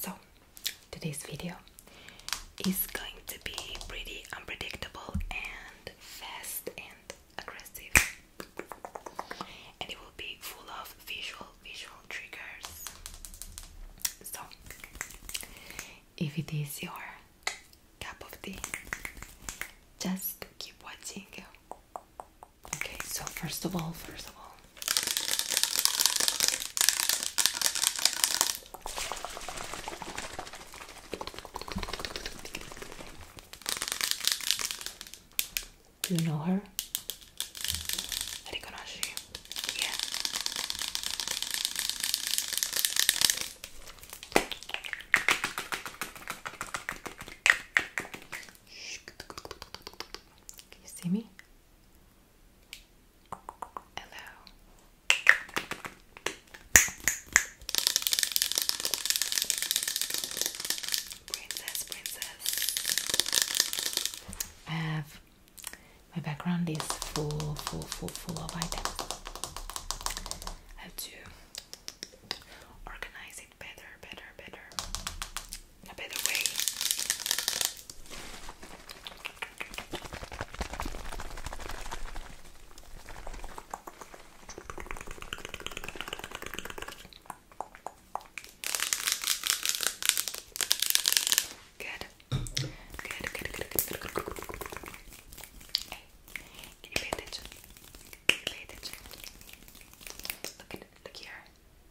So, today's video is going to be pretty unpredictable and fast and aggressive. And it will be full of visual visual triggers. So, if it is your cup of tea, just keep watching Okay, so first of all, first of all. Do you know her? Riconosci? Yeah. Can you see me? Hello. Princess, princess. I have my background is full, full, full, full of items. I have to organize it better, better, better. Now, by the way, good, good, good, good, good, good, good. Hey, can you pay attention? Can you pay attention? Look at, look here.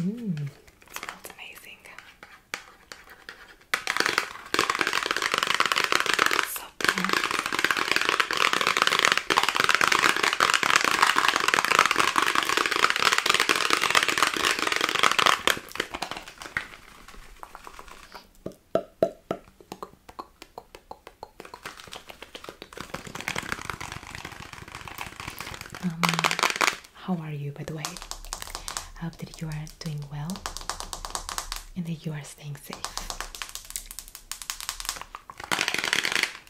Mmm, smells amazing. So cool. Um, how are you, by the way? I hope that you are doing well and that you are staying safe.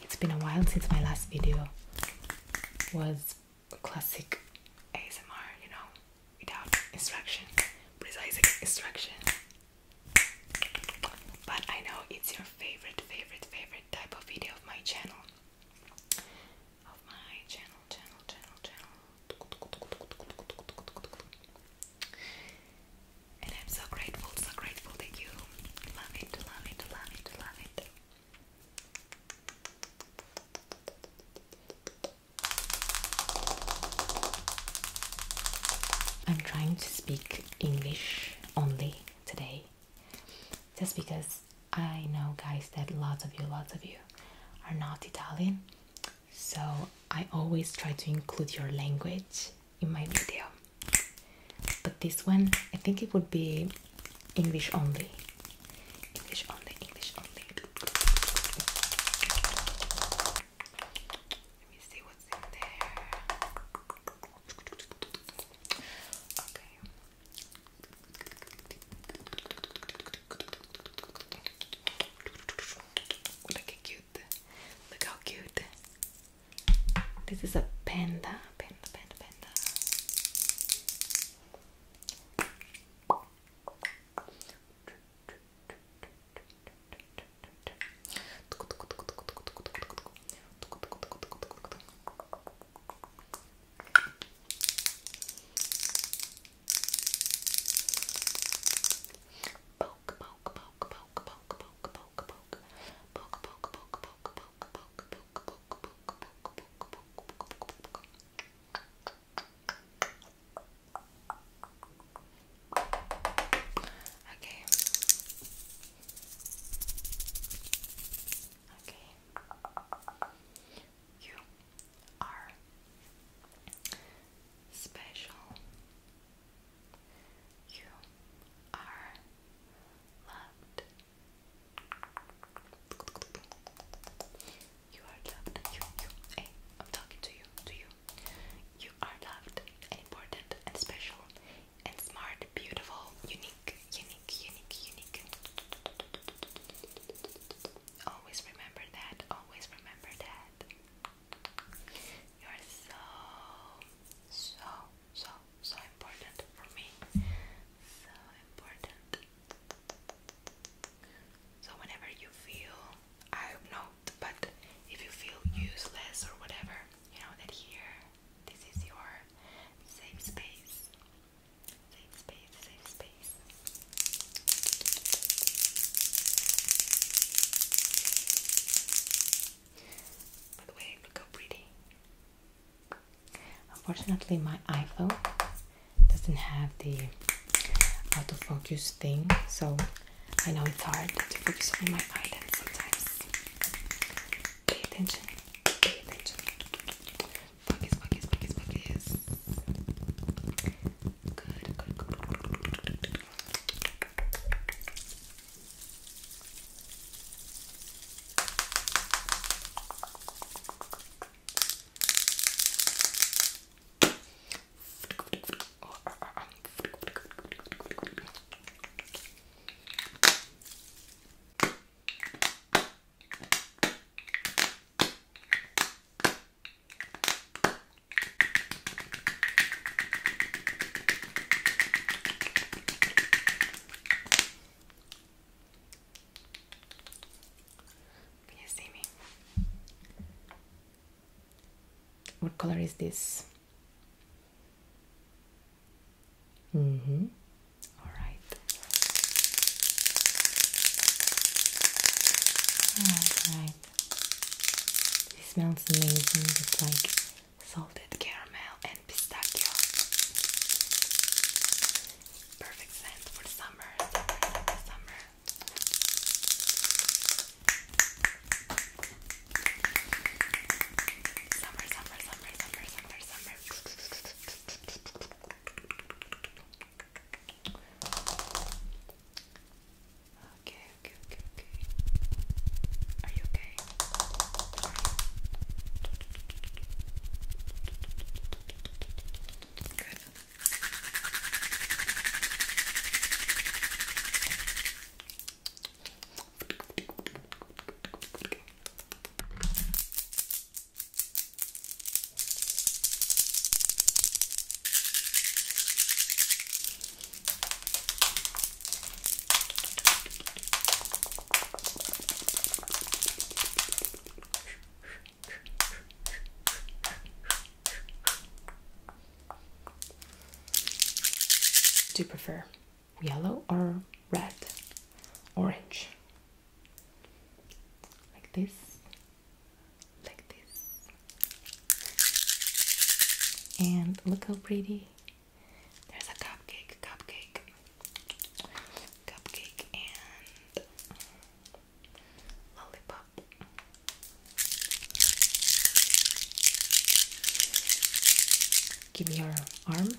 It's been a while since my last video was classic ASMR, you know, without instruction, precise instruction. But I know it's your favorite, favorite, favorite type of video of my channel. Of my channel, channel, channel, channel. And I'm so grateful, so grateful that you love it, love it, love it, love it. I'm trying to speak English only today just because I know guys that lots of you lots of you are not Italian so I always try to include your language in my video but this one I think it would be English only English only English only let me see what's in there Okay. Look how cute. Look how cute. This is a panda. Panda, panda, panda poke, poke, poke, poke, poke, poke, poke, poke, poke, poke, poke, poke, poke. Okay. Okay. You are special. You are loved. You are loved. You, you. Hey, I'm talking to you. To you. You are loved important and special and smart, beautiful, unique, unique, unique, unique. Always remember that, always remember that. You are so, so, so, so important for me. So important. So, whenever you feel, I know, but if you feel useless or whatever, you know that here this is your safe space. Safe space, safe space. By the way, look how pretty. Unfortunately, my iPhone doesn't have the autofocus thing, so I know it's hard to focus on my items sometimes. Pay attention. Pay attention. Focus, focus, focus, focus. Good, good, good. Can you see me? What color is this? Mm-hmm. All right. All right. It smells amazing. It's like salted caramel and pistachio. Perfect scent for summer. Summer. summer. Summer, summer, summer, summer, summer, summer. Okay, okay, okay, okay. Are you okay? Are you? Good. Do you prefer yellow or red, orange, like this, like this, and look how pretty. There's a cupcake, cupcake, cupcake, and lollipop. Give me your arm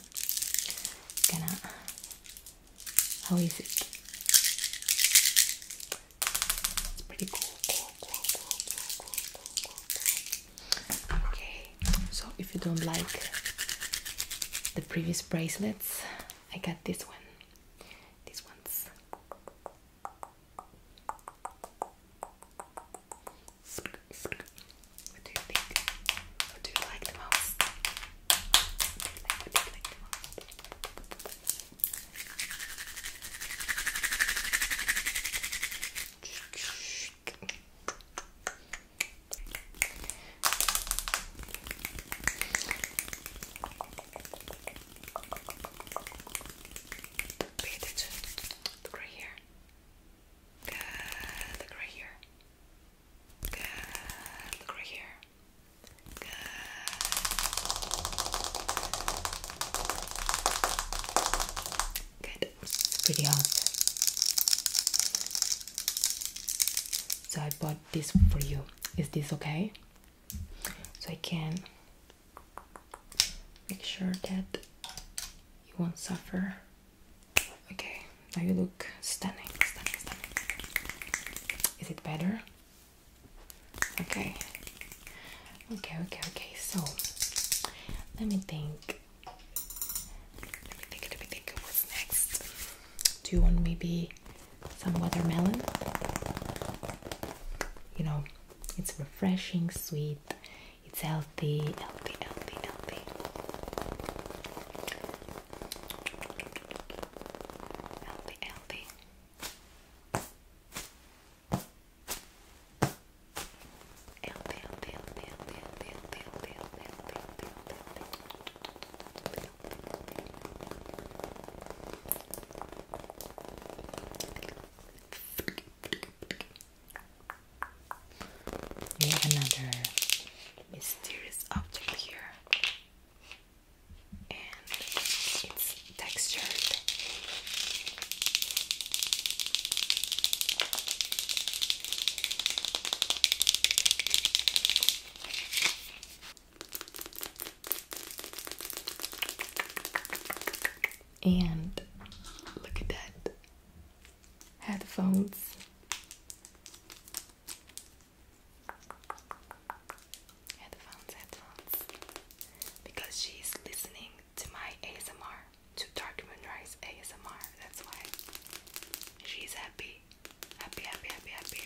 gonna. How is it? It's pretty cool. Okay, so if you don't like the previous bracelets, I got this one. These ones. What do you think? What do you like the most? What do you like the most? Pay right here. Good. Look right here. Good. Look right here. Good. Good. It's pretty hot. So I bought this for you. Is this okay? So I can make sure that you won't suffer Okay, now you look stunning, stunning, stunning. Is it better? Okay. Okay, okay, okay. So let me think. Let me think, let me think what's next. Do you want maybe some watermelon? You know, it's refreshing, sweet, it's healthy, healthy, healthy, healthy. Healthy, healthy. Healthy, healthy, healthy, healthy, healthy, healthy, healthy, healthy, healthy, healthy, healthy. We have another mysterious object here, and it's textured. And look at that headphones Headphones, headphones. Because she's listening to my ASMR, to Dark Moonrise ASMR. That's why she's happy, happy, happy, happy, happy.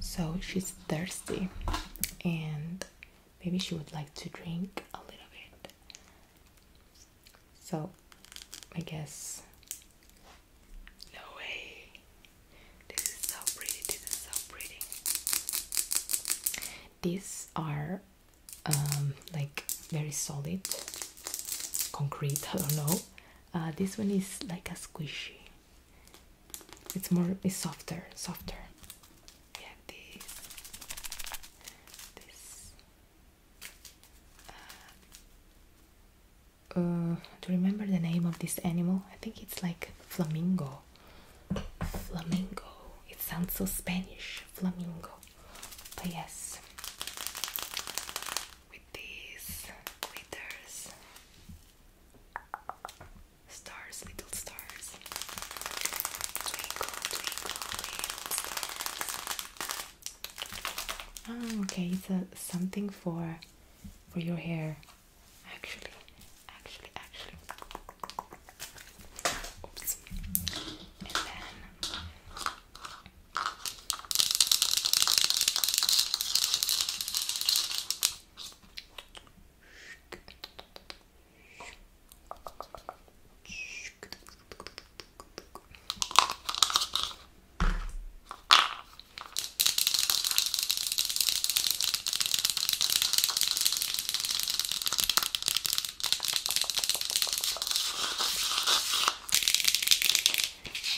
So she's thirsty, and maybe she would like to drink a little bit. So, I guess. No way! This is so pretty, this is so pretty. These are um, like very solid, concrete, I don't know. Uh, this one is like a squishy. It's more, it's softer, softer. Yeah, this. This. Uh, do you remember the name of this animal? I think it's like flamingo. Flamingo. It sounds so Spanish. Flamingo. But yes, with these glitters, stars, little stars, twinkle, twinkle, Oh, okay, it's a something for for your hair. Actually, actually, actually.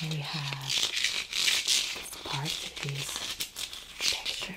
And we have this part that is textured.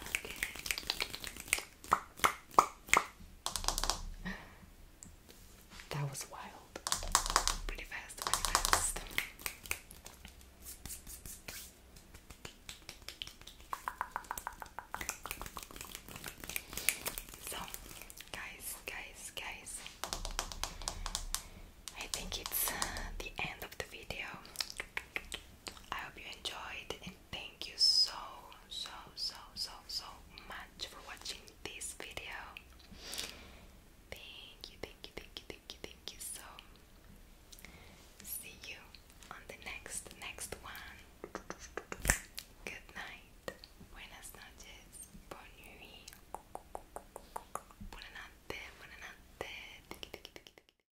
That was wild. Pretty fast, So, guys, guys, guys, I think it's uh, the end of the video. I hope you enjoyed and thank you so so so so so much for watching this video. Thank you, thank you, thank you, thank you, thank you so see you on the next next one. Good night. Buenas noches. Bon nuit. Buonanotte. Buonanotte.